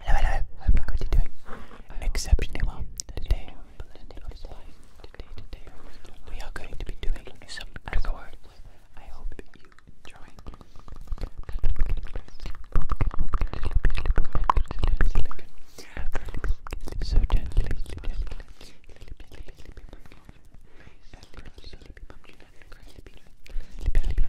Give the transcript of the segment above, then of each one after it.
Hello, hello. Hope you doing exceptionally well today. we are going to be doing some I hope you enjoy.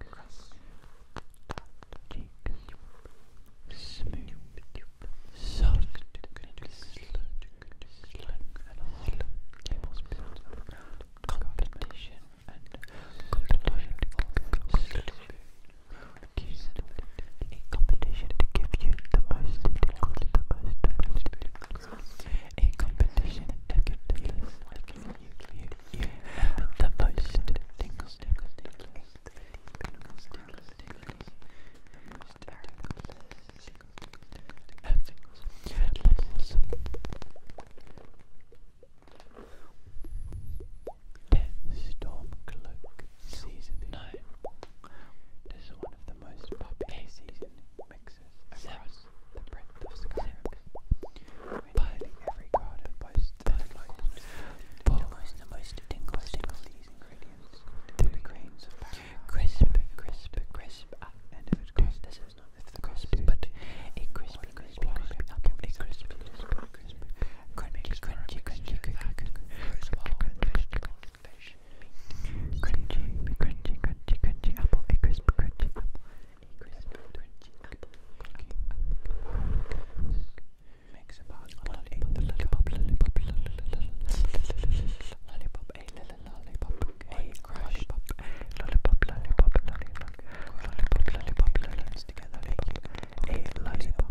Cross. competition and competition. competition to give you the most, the most, the most, competition to give you the most the most tingles, tingles, tingles, tingles, tingles, tingles, the most tingles, tingles, Storm Cloak Season 9. This is one of the most popular season mixes across the breadth of Skyrim. When every garden by that like the most, the most tingle, tingle these ingredients the grains crisp, crisp, crisp, ah, and crisp, crisp, apple, a crispy, crispy, apple, a crisp, crunchy apple, a crisp, crunchy apple, crunchy apple, apple, Makes about a lollipop, a lollipop, lollipop, lollipop, a lollipop, a crash, lollipop, lollipop, lollipop, lollipop, lollipop, lollipop, together, a lollipop, a lollipop,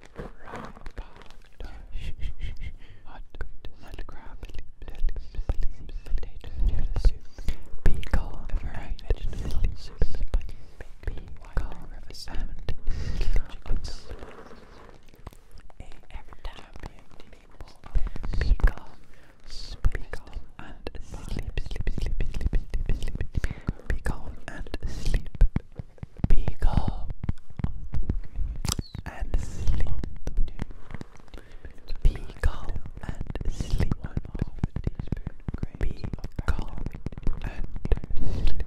and sleep, sleep, sleep, sleep, sleep, be calm and sleep. Wake up and sleep. Be calm and sleep. Be calm and sleep.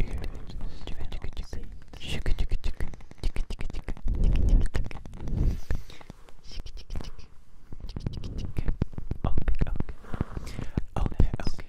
Okay, okay. Okay, okay.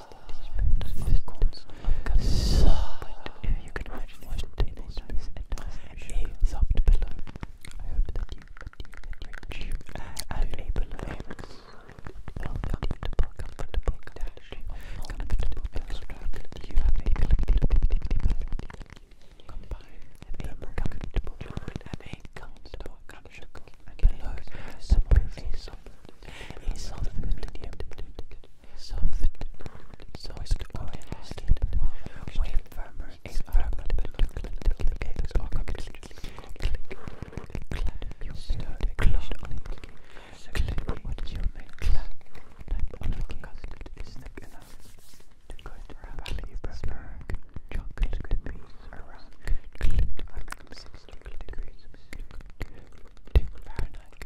teaspoons of so, if you can imagine one tablespoon of sugar, a soft pillow. I hope that you continue to reach and a pillow. Comfortable, comfortable, comfortable, comfortable, comfortable, you have a comfortable, combine a comfortable, have a comfortable, comfortable, and pillow, support a soft a soft medium, soft, soft or elastic, way firmer, a firmer, little cakes or cookies, click, clap, you stir the clock on it, click, what you make, clap, type on a custard is thick enough to cut rapidly prefer chocolate cookies around, click, 160 degrees, 2 Fahrenheit,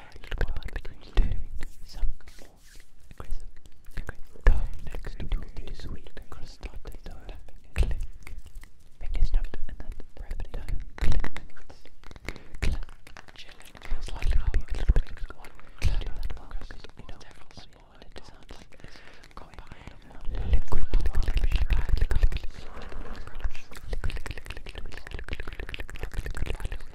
a little bit about agreeing to some more aggressive next to this week cross dot dot click fingers tapped and then rapid down click click chill it feels like it'll be a little bit one click do that well because you know everyone's more it sounds like it's combined liquid liquid liquid liquid liquid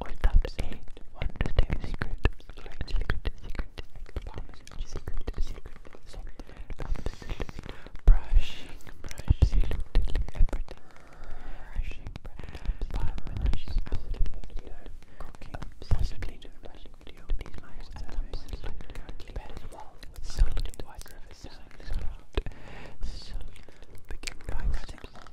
Or that's a wonderful secret, secret, secret, secret, secret, secret, secret, secret, brushing, brushing, absolutely everything, brushing, five minutes, absolutely, cooking, possibly doing a brushing video, these mice are absolutely currently better than well, solid, white river, solid, solid, begin by cutting off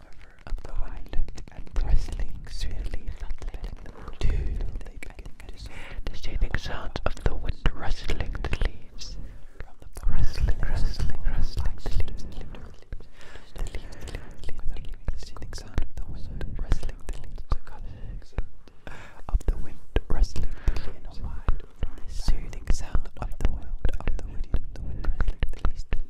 over up the wind and bristling swiftly to the soothing sounds of the wind rustling the leaves, rustling, rustling, rustling the leaves, the leaves, the soothing sound of the wind rustling the leaves, of the wind rustling the leaves, the soothing sound of the wind, of the wind, the wind rustling the leaves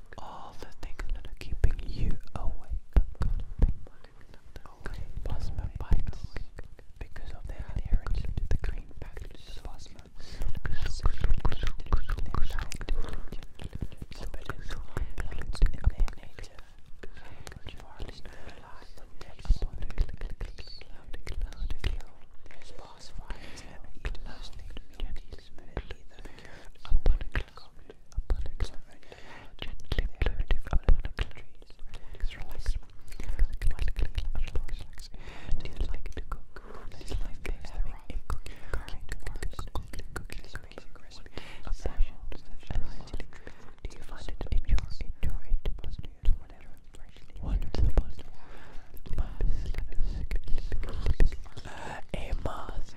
all the things that are keeping you awake. Okay, plasma pipes. Because of their adherence to the green package of plasma. There's past fires, closely, gently, Gently upon a cloud, upon a cloud, gently floating upon a cloud. Relax, relax, relax, relax. Do you like to cook? This life is having a cooking, cooking, cooking, cooking, cooking recipe. A passion, a variety. Do you find it in your, in your, in the past news, whatever? Wonderful, wonderful. A mask.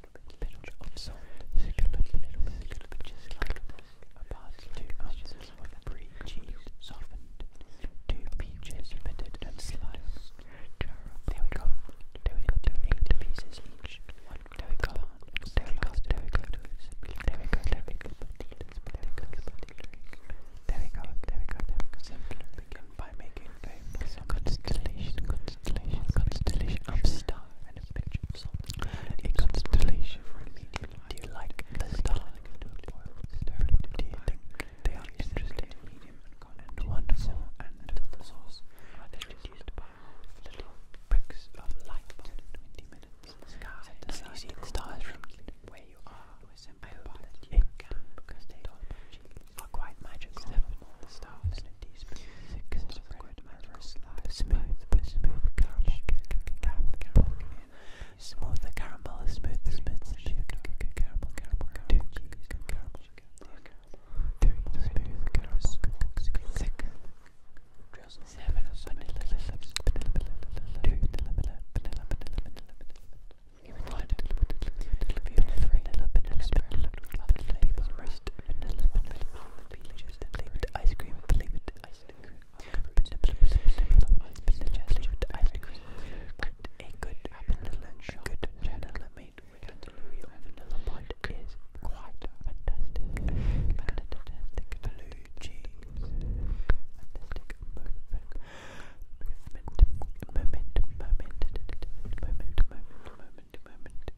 little bit of salt, just a little bit, just like this. About two ounces of brie cheese softened, two peaches pitted and sliced. There we go. There we go. Eight pieces each. There we go. There we go. There we go. There we go. There we go. There we go. There we go. There we go. Simply begin by making a constellation. Constellation. Constellation of stars and a picture of A for immediate Do you like the stars? Do you think they are interesting and wonderful and the source? are produced by little bricks of light. Twenty minutes. Sky. You see the stars from where you are. I hope that you can because they are quite magical liquid, my first life. Smooth, but smooth caramel cake, caramel caramel cake. Smooth the caramel, smooth, smooth, smooth caramel, caramel, caramel, cheese, caramel, three, smooth caramel, six, drizzle, seven, vanilla lips, vanilla, vanilla, two, vanilla, vanilla, vanilla, vanilla, even one, even three, vanilla, vanilla, vanilla, other flavors, roast, vanilla, vanilla, peaches, flavored ice cream, flavored ice cream. I suggest you ice cream. A good vanilla good vanilla made with is quite fantastic.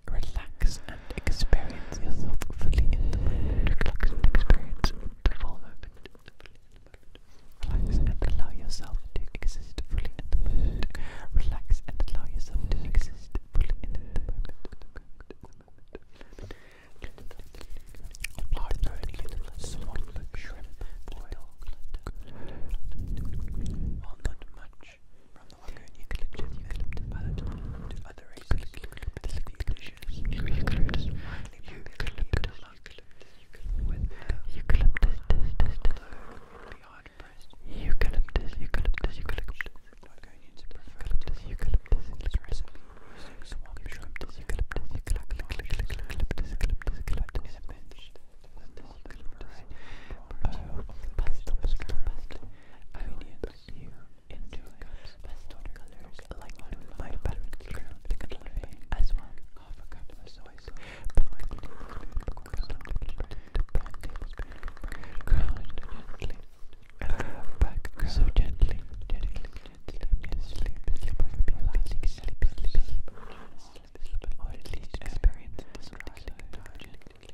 Relax and experience yourself fully Relax and experience the full moment. Relax and allow yourself to exist fully in the moment. Relax and allow yourself to exist fully in the moment other races. This is the eucalyptus, eucalyptus, with eucalyptus, beyond pressed. Eucalyptus, eucalyptus, eucalyptus. Not going into eucalyptus, eucalyptus. This recipe using swamp shrimp, eucalyptus, eucalyptus, eucalyptus, eucalyptus, eucalyptus. In a pinch, eucalyptus, variety. Pasta, pasta, pasta. Onions, into cups, pastel colors like blue might balance the colorway as well. Half a cup of soy sauce, half a tablespoon of cornstarch, half tablespoon of ground gently, back so gently, gently, gently, gently, slip, slip, slip, slip, slip, slip, slip, slip, or at least experience this dry, gently.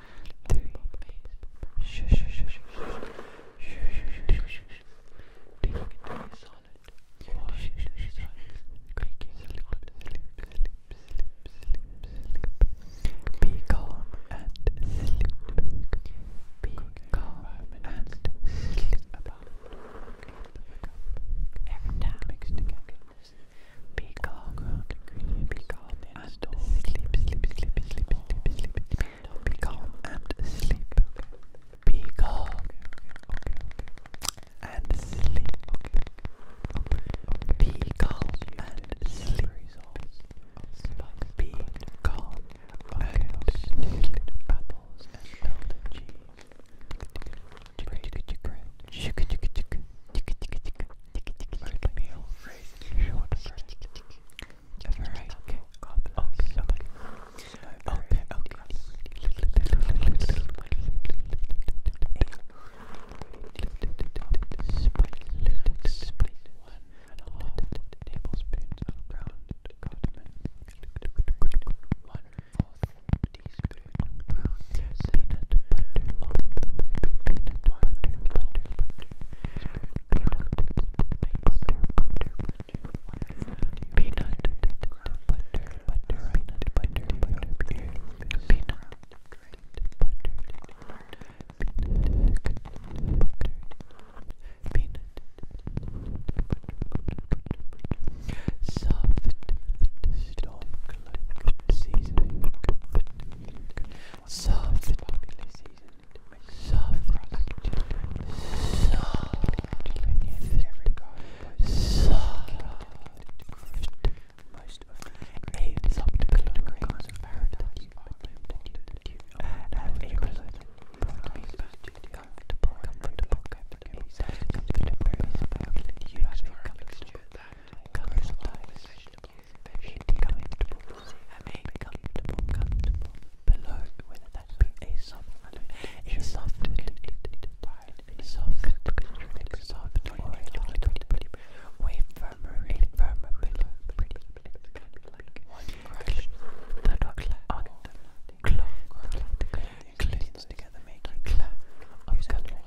three, shush, shush, shush, shush, be calm and sleep. Be calm and sleep. About every time. Mixed together. Peacock, peacock, and sleep, sleep, sleep, sleep, sleep, sleep, sleep, and sleep, peacock and sleep, peacock and sleep, peacock and sleep, apples and golden American meal, raised short bread. A very okay, okay, okay. Okay, okay. Split, split, one and a half tablespoons of ground cardamom. One fourth teaspoon of ground peanut butter lump, peanut butter butter butter, peanut butter butter butter, peanut butter butter peanut butter butter peanut butter peanut butter peanut Soft, storm, cloak, seasoning, soft, popular season to make soft, children, soft, soft, most of the subject of paradise comfortable, comfortable, comfortable, you have to that very comfortable. I mean, comfortable, comfortable. Below, whether that be a soft, a soft, a soft, a soft, or a little bit way firmer, a firmer pillow. One crush, the dog on the clock, clings together, making clap of color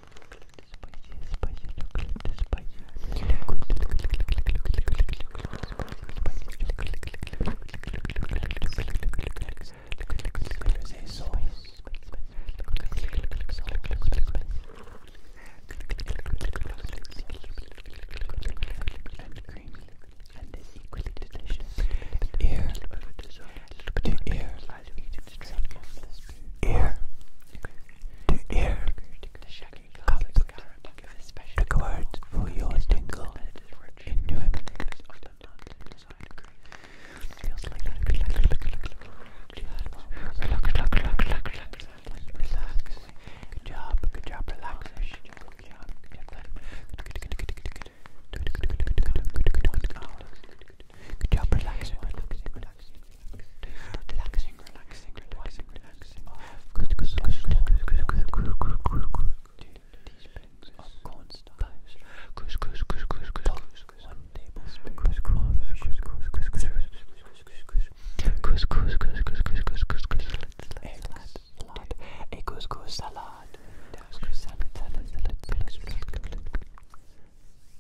and creamy, and is equally delicious. Ear to ear, ear to air the cards for your tingle Good job, good job, relax. Good job, Good job, relaxing, relaxing, relaxing, relaxing, relaxing, relaxing, relaxing. Good, good, good, good, good, good, good, good, good. Teaspoons of cornstarch. Goose, goose, goose, goose, goose, goose. One tablespoon. Goose, goose, goose, goose, goose, goose, goose, goose, goose, goose, goose, goose, goose. Egg salad. A goose, goose salad. Goose, goose salad, salad, salad, salad, salad.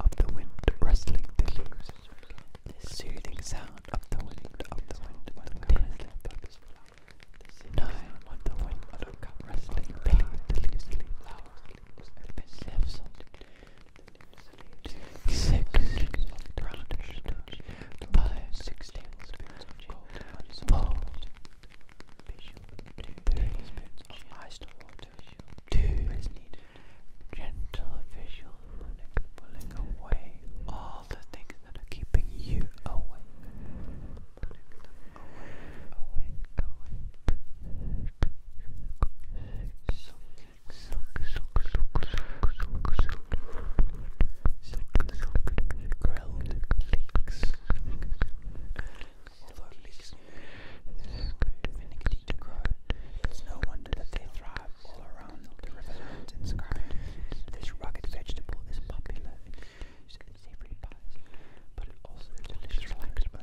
Of the wind rustling the leaves, the soothing sound of the wind, of the wind, of the wind, nine the wind, rustling the leaves, the leaves, Six of the ground, five, six, four, Two tablespoons of iced water. Two is needed. Gentle visual pulling, away all the things that are keeping you awake. Pulling them away, awake, awake. Soak, soak, soak, soak, soak, soak, soak. Grilled leeks although pigs need to grow, it's no wonder that they thrive all around the river mountains current. This rugged vegetable is popular in savory pies, but it also delicious relaxed bone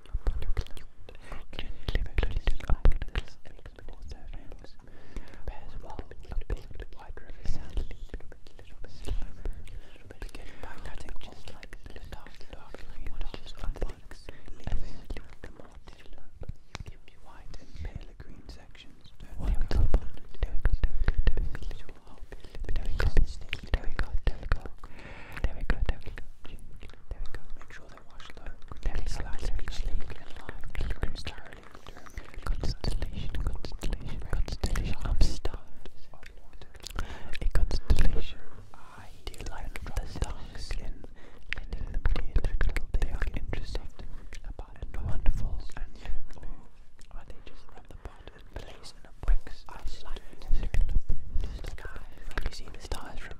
white and There we go, there we go. There we go, there we go sure they watch the Tennis Live Beach League and Live Pilgrim Star League Constellation, Constellation, Constellation, I'm stunned. A Constellation. I do like the stars in letting them clear their little they are interesting about and wonderful and or are they just at the pot and place and a box? I like the sky. Can you see the stars from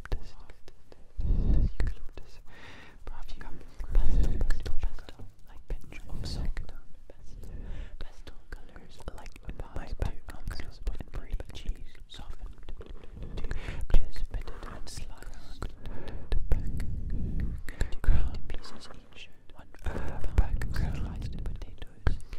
eucalyptus, eucalyptus. Perhaps you come pastel, pastel, pastel, like pinch of silk, pastel colors, like my background colors, but in brief cheese, softened, precipitated and sliced, back, ground pieces each, one back, sliced potatoes.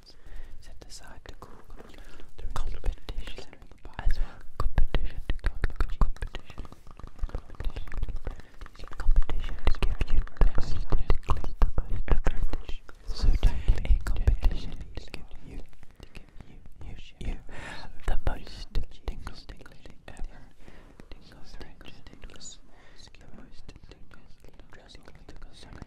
set aside to cool competition as well. Competition competition competition competition to give you the best the best advantage. So a competition to give you to give you you you the most tingles tingles ever tingles tingles tingles the most tingles tingles tingles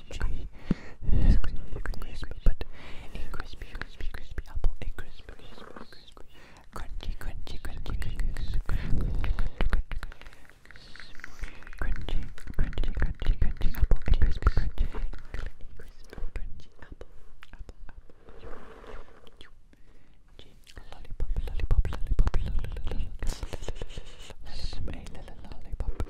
crispy, crispy, crispy, but a crispy, crispy, crispy apple, a crisp, crisp, crunchy, crunchy, crunchy, crunchy, crunchy, crunchy, crunchy, crunchy apple, a crisp, crunchy, a crisp, crunchy apple, apple, apple, lollipop, lollipop, lollipop, lollipop, lollipop, lollipop,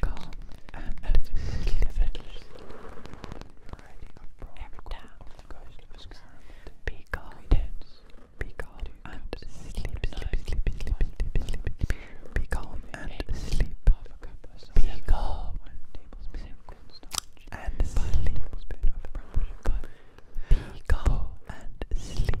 calm and sleep, Be calm, be calm and sleep, sleep, sleep, sleep, sleep, sleep. Be calm and sleep. Be calm and sleep. Be calm and sleep.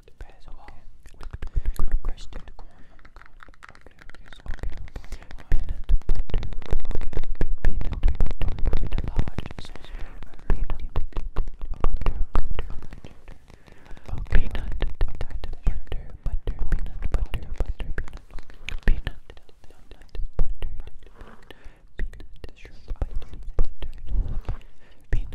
The bear's okay. Crushed to the corn on the cob. Okay, okay, so okay. The peanut butter. Okay, okay. Peanut butter. Peanut large sauce. Peanut butter. Butter. Peanut butter. Butter. Peanut butter. Butter. Peanut. Peanut. Peanut butter. Peanut. Shrimp. Butter. Peanut.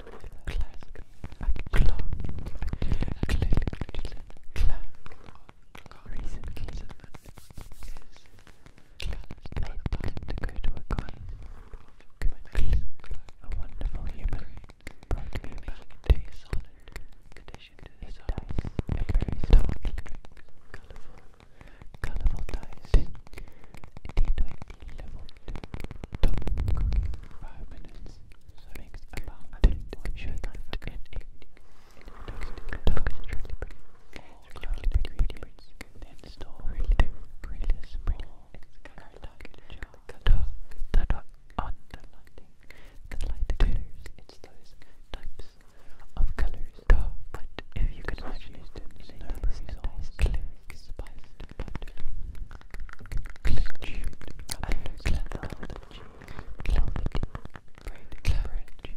a wonderful human brought me back to solid condition. His dice are very dark, colourful, colourful dice level 2 top cooking 5 minutes so makes about 10 sure that it then store really really pretty that are on the lighting the light colors it's those types of colors but if you can imagine it in a nice clear spiced Clutch and clutch, clutch, courage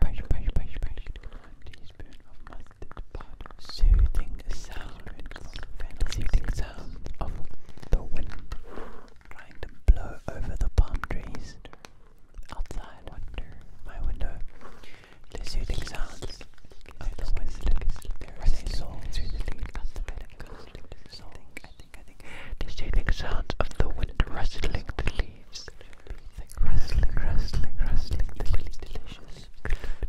brush, teaspoon of mustard powder. Soothing sounds. Soothing sounds of the wind trying to blow over the palm trees. Outside, under my window. The soothing sounds of the wind. There is through the leaf. I think, The soothing sounds of the wind rustling the leaves leaves, thick rustling, rustling, rustling, the really delicious.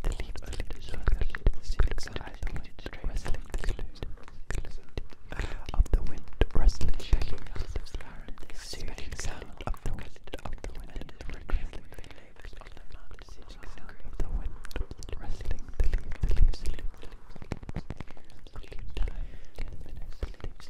The leaves only deserve that little silk eyes pointed straight rustling the glued. Up the wind, rustling, shaking out the flower, the soothing sound of the wind, up the wind, and the rustling the leaves on the mountain, soothing sound of the wind, rustling the leaves, the leaves, the leaves, the leaves. Ten minutes, the leaves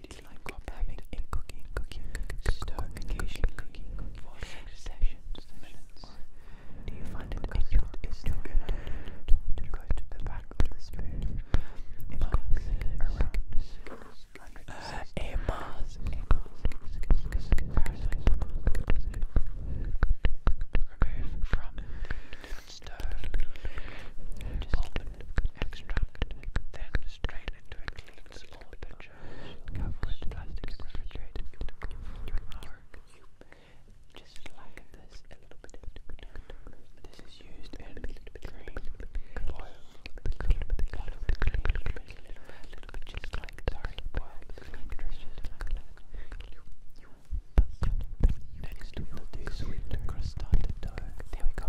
quality like copy having in cooking, cooking, stone cooking, for sessions, sessions, or do you find it enjoyable to go to the back of the spoon and cooking remove from stove, extract, then strain into a clean small pitcher, cover with plastic and refrigerate it for an hour. Just like this, a little bit. This is used in green oil. A little bit, a little bit, a little bit, a little bit, just like sorry, oil. It's just like that. Next, we'll do sweet crust on the dough. There we go.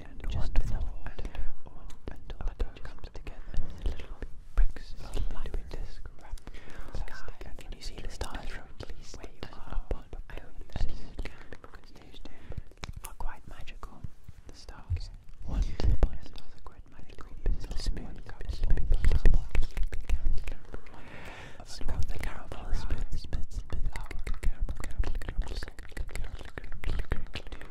and just wonderful. And all comes together little bricks of light disc wrap plastic. And can you see the stars from these waves up are quite magical. The stars. One to the point. The stars are quite magical. Smooth, smooth, so the caramel spits, spits, spits, caramel, caramel, caramel, caramel, caramel,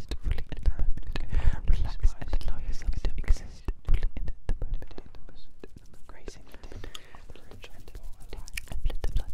exist fully Relax and allow yourself to exist the moment. the dead, the rich and large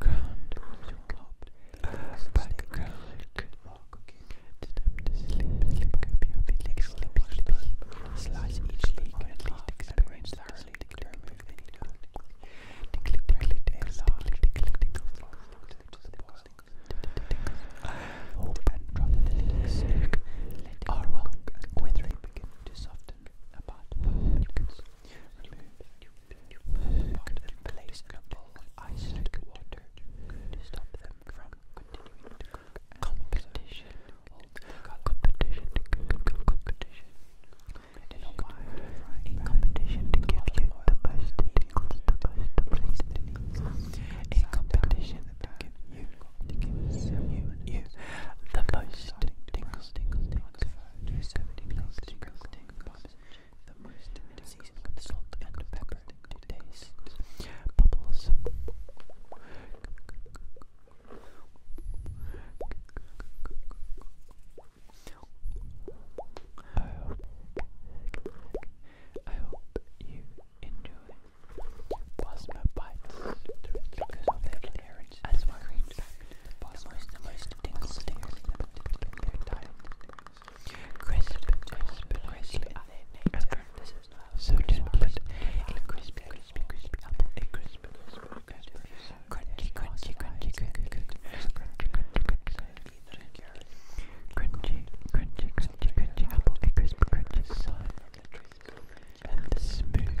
ground background could walk to them to sleep, sleep, could be a sleep, sleep, slice each leg and least experience thoroughly the remove any doubt. Tickly, tickly, tickly, tickly, tickle, to the boil, Hold and drop the leaves, let it walk, and quickly begin to soften about five minutes. Remove pot and place in a water to stop them from continuing to cook. Competition. Competition. Competition. In competition to give you the best the best to place the needs. A competition to give you, to give you, you, the most tickles, tickles, tickles. There's The most in season with salt and pepper to taste. Bubbles. I hope, I hope you enjoy Plasma Bites because of their words as well. The most, the most tingles Crisp, crisp, crisp. This is not so but a crispy, crispy, apple. A crisp, crisp, crisp. Crunchy, crunchy, crunchy, crunchy, crunchy, crunchy, crunchy apple. A crisp, crunchy And the smooth.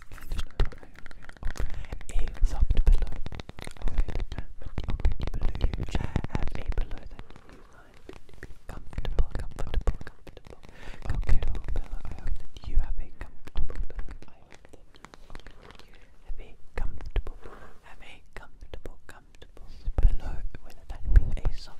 A soft pillow. I have a pillow that you find comfortable, comfortable, comfortable, comfortable pillow. I you have a comfortable pillow. I have a comfortable, have a comfortable, comfortable pillow, whether that be soft,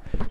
Secret.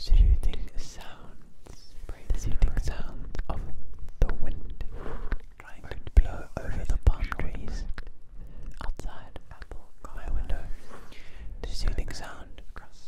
soothing sound of the wind trying to blow over the palm trees outside my window. The soothing sound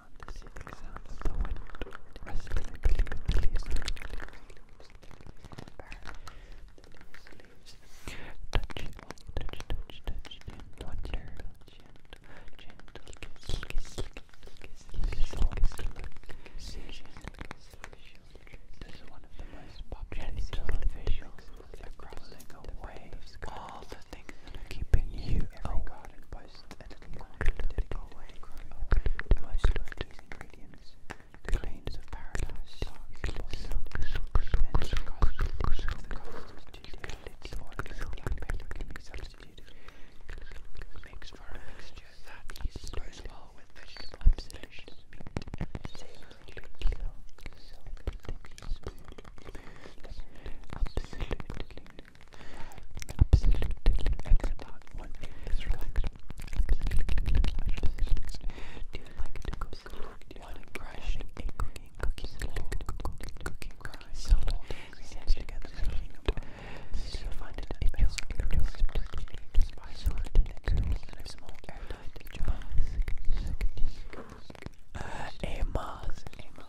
sound, the single sound of the wind rustling the leaves, the leaves, the leaves, the leaves, touching, touch, touch, touch, and water, gentle, kiss, kiss, kiss, kiss, kiss, kiss, kiss, this is one of the most popular visuals across the waves, all the things that are keeping you awake and posted a little quantity away from most of these ingredients. Grains of paradise, loss, and the cost of oil black pepper can be substituted. Mixed for a mixture that goes well with vegetable and delicious meat. Savoury, silk, silk, silky smooth. Absolutely Absolutely. you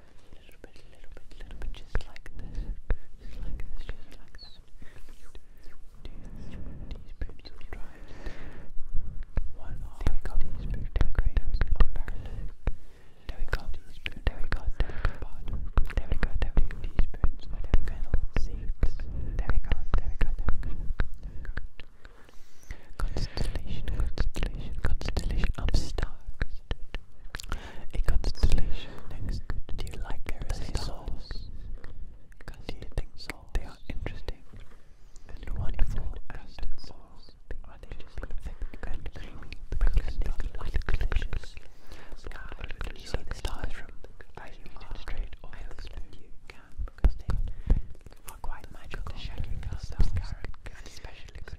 little bit, little bit, little bit, just like this, just like this, just like this. Teaspoons of dried. One half teaspoon of grains of garlic. There we go. Teaspoon. There we go. There we go. There we go. There we go. Teaspoons of fennel seeds. There we go. There we go. There we go. There we go. Constellation, constellation, constellation. I'm stuck. A constellation is good. Do you like their souls? Do you think they are interesting and wonderful as souls? Are they just thick and creamy because they are light delicious? Can you see the stars from as you are straight or else you can because they are quite magical. The shadowy cast of carrot especially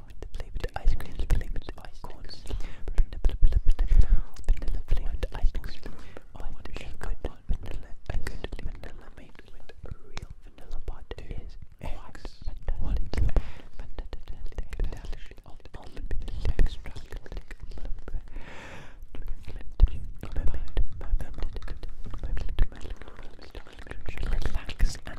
flavored, flavored ice cream, flavored ice cones, vanilla, vanilla flavored ice cream. Oh, I want a good vanilla, a good vanilla made with a real vanilla pot is quite fantastic, fantastic, fantastic, of the almond extract, relax and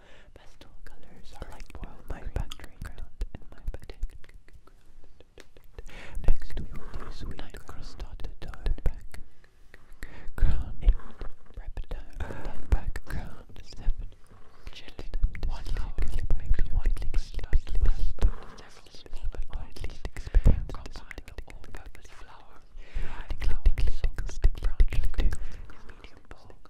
Pastel colors are like my background and my background. Next to the sweet crust-dotted dotted back. Crown eight, reptile background seven. Chilled one hour makes one sleepy last several sleep or at least expand combined all-purpose flour. Flour, so stick brown, medium bulk.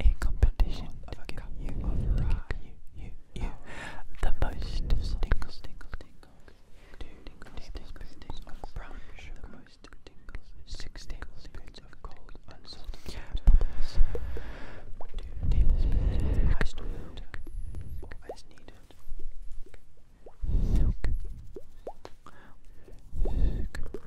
in competition to give you, to you, you, you, the most tingles, tingles, of brown the most of cold unsalted bubbles, two tablespoons of iced milk, or milk, milk,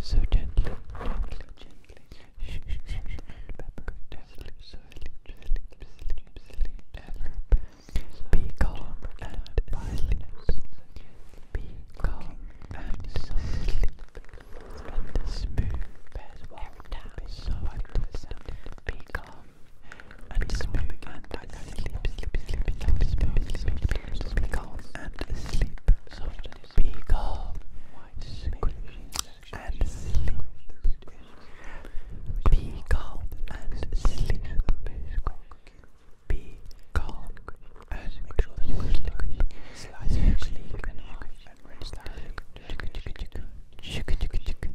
so gently, be calm and silence. Be calm and silent. And the smooth as well down so I be calm and spook and sleep, sleep, sleep, sleep, sleep, sleep, be calm and sleep, be calm and sleep, be calm and sleep, be calm and sleep, slice your sleep and and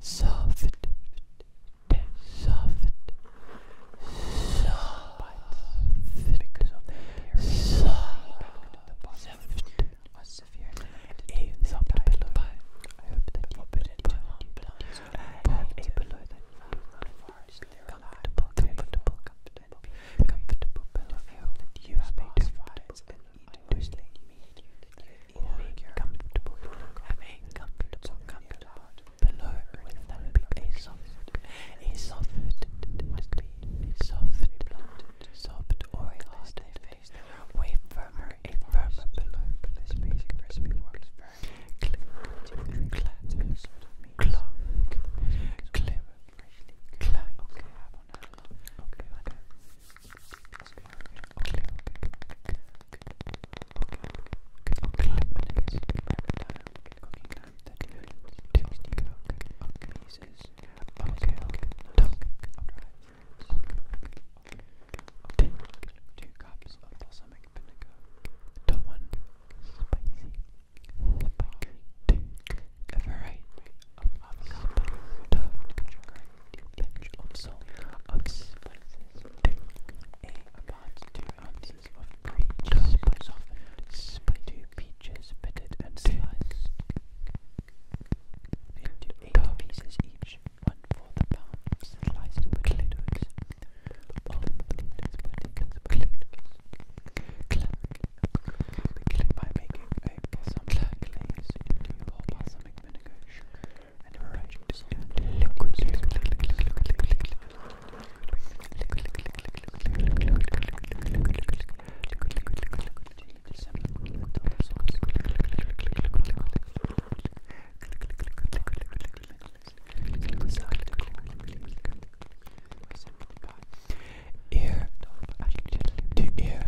soft, soft, soft, because of the soft, a severe a soft pillow. I hope that you put it into one blouse and have a pillow that you find comfortable, comfortable, comfortable, comfortable pillow. I hope that you have a device and eat loosely, that you Make your comfortable, have a comfortable comfortable pillow with that be a soft, a soft, must be a soft, blunt, soft or a hard face, way firmer, a firmer pillow, but this basic recipe works very clear, clap, clock, clear, freshly, clock, okay, I have one, okay, okay, okay, okay, okay, cooking time, that good, toasty cook, pieces, okay, okay, okay, two cups of balsamic vinegar, one spicy, spicy, two, a variety of avocado, sugar, to pinch of salt, of spices, take a about two ounces of peach spice, spice two peaches pitted and sliced into eight pieces each, one for the pound, sliced potatoes, all potatoes, potatoes, potatoes, by making a balsamic glaze into your balsamic vinegar, sugar, and arrange it in liquid. Ear to ear,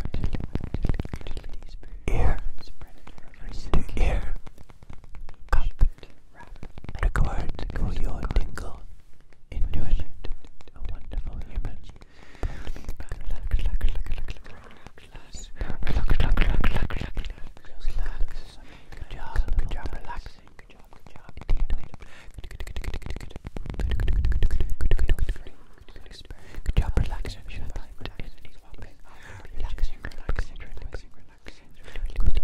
ear to ear cup record for your tingle enjoyment. A wonderful human. Relax, relax, relax, Good job, good job, relaxing. Good job, good job. Good job, relaxing. Good job, relaxing relaxing, relaxing, relaxing, relaxing, relaxing,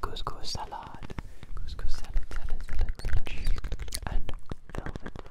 Couscous salad, couscous salad, salad, salad, salad, and velvet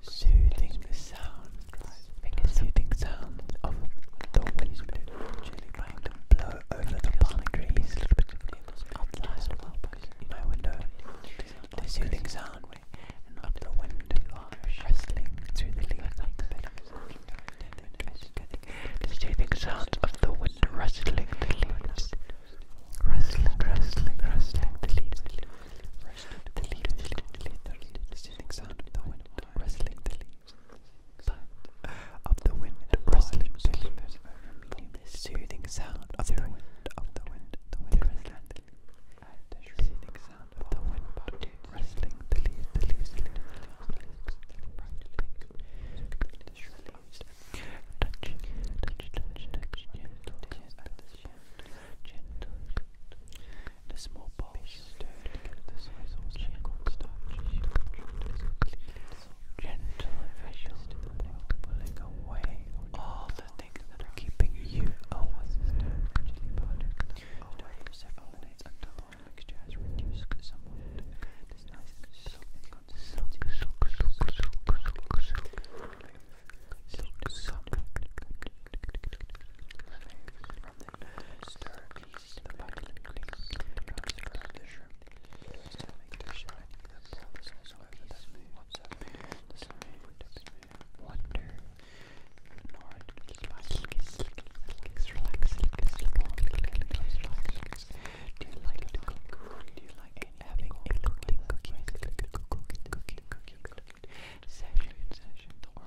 Soothing the sound, soothing sound of the wind, can blow over the palm trees outside my window. The soothing sound of the wind rustling through the leaves. The soothing sound of the wind rustling the leaves. Rustling, rustling, rustling the leaves. The leaves, the leaves. The soothing sound of the wind rustling the leaves of the wind rustling to the the soothing sound of the wind, of the wind, the wind rustling. The soothing sound of the wind rustling the leaves, the leaves, the leaves, the leaves, touch, touch, touch, touch, gentle, gentle, gentle, the small balls Gentle officials pulling away all the things that are keeping you away. Away for several minutes until the oil mixture has reduced somewhat. This nice the bucket and clean drops around the shrimp. Used to make the shine that pull the sauce over the smooth. What's up, man? The smooth would have been wonder. Nord, spice, relax, relax, relax, Do you like to cook? Do you like having a cooking, cooking, cooking, cooking, cooking, cooking, cooking session, session, or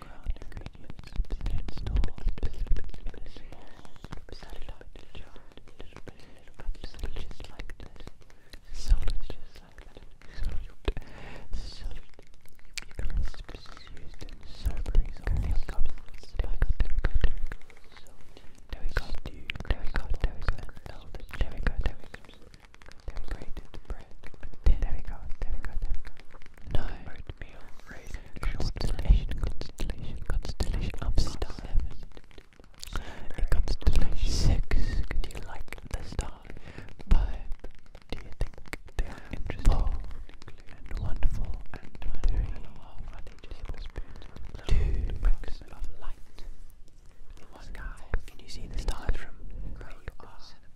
ground ingredients instead stored specifically in a small, satellite jar, little bit, little bit, so just like this, so just like that, so eucalyptus is used in sobering, there we go, there we go, there we go, there we go, there we go, there we go, there we go, there we go, there we go, there we go, then grated bread. There, there we go, there we go, there we go. No. Oatmeal, raisin, constellation, constellation, constellation of stars. A constellation six. Do you like the star? Five. Do you think they are interesting? Four. And wonderful. And three. And are they just Two bricks of light in the sky. Can you see the stars from where you are?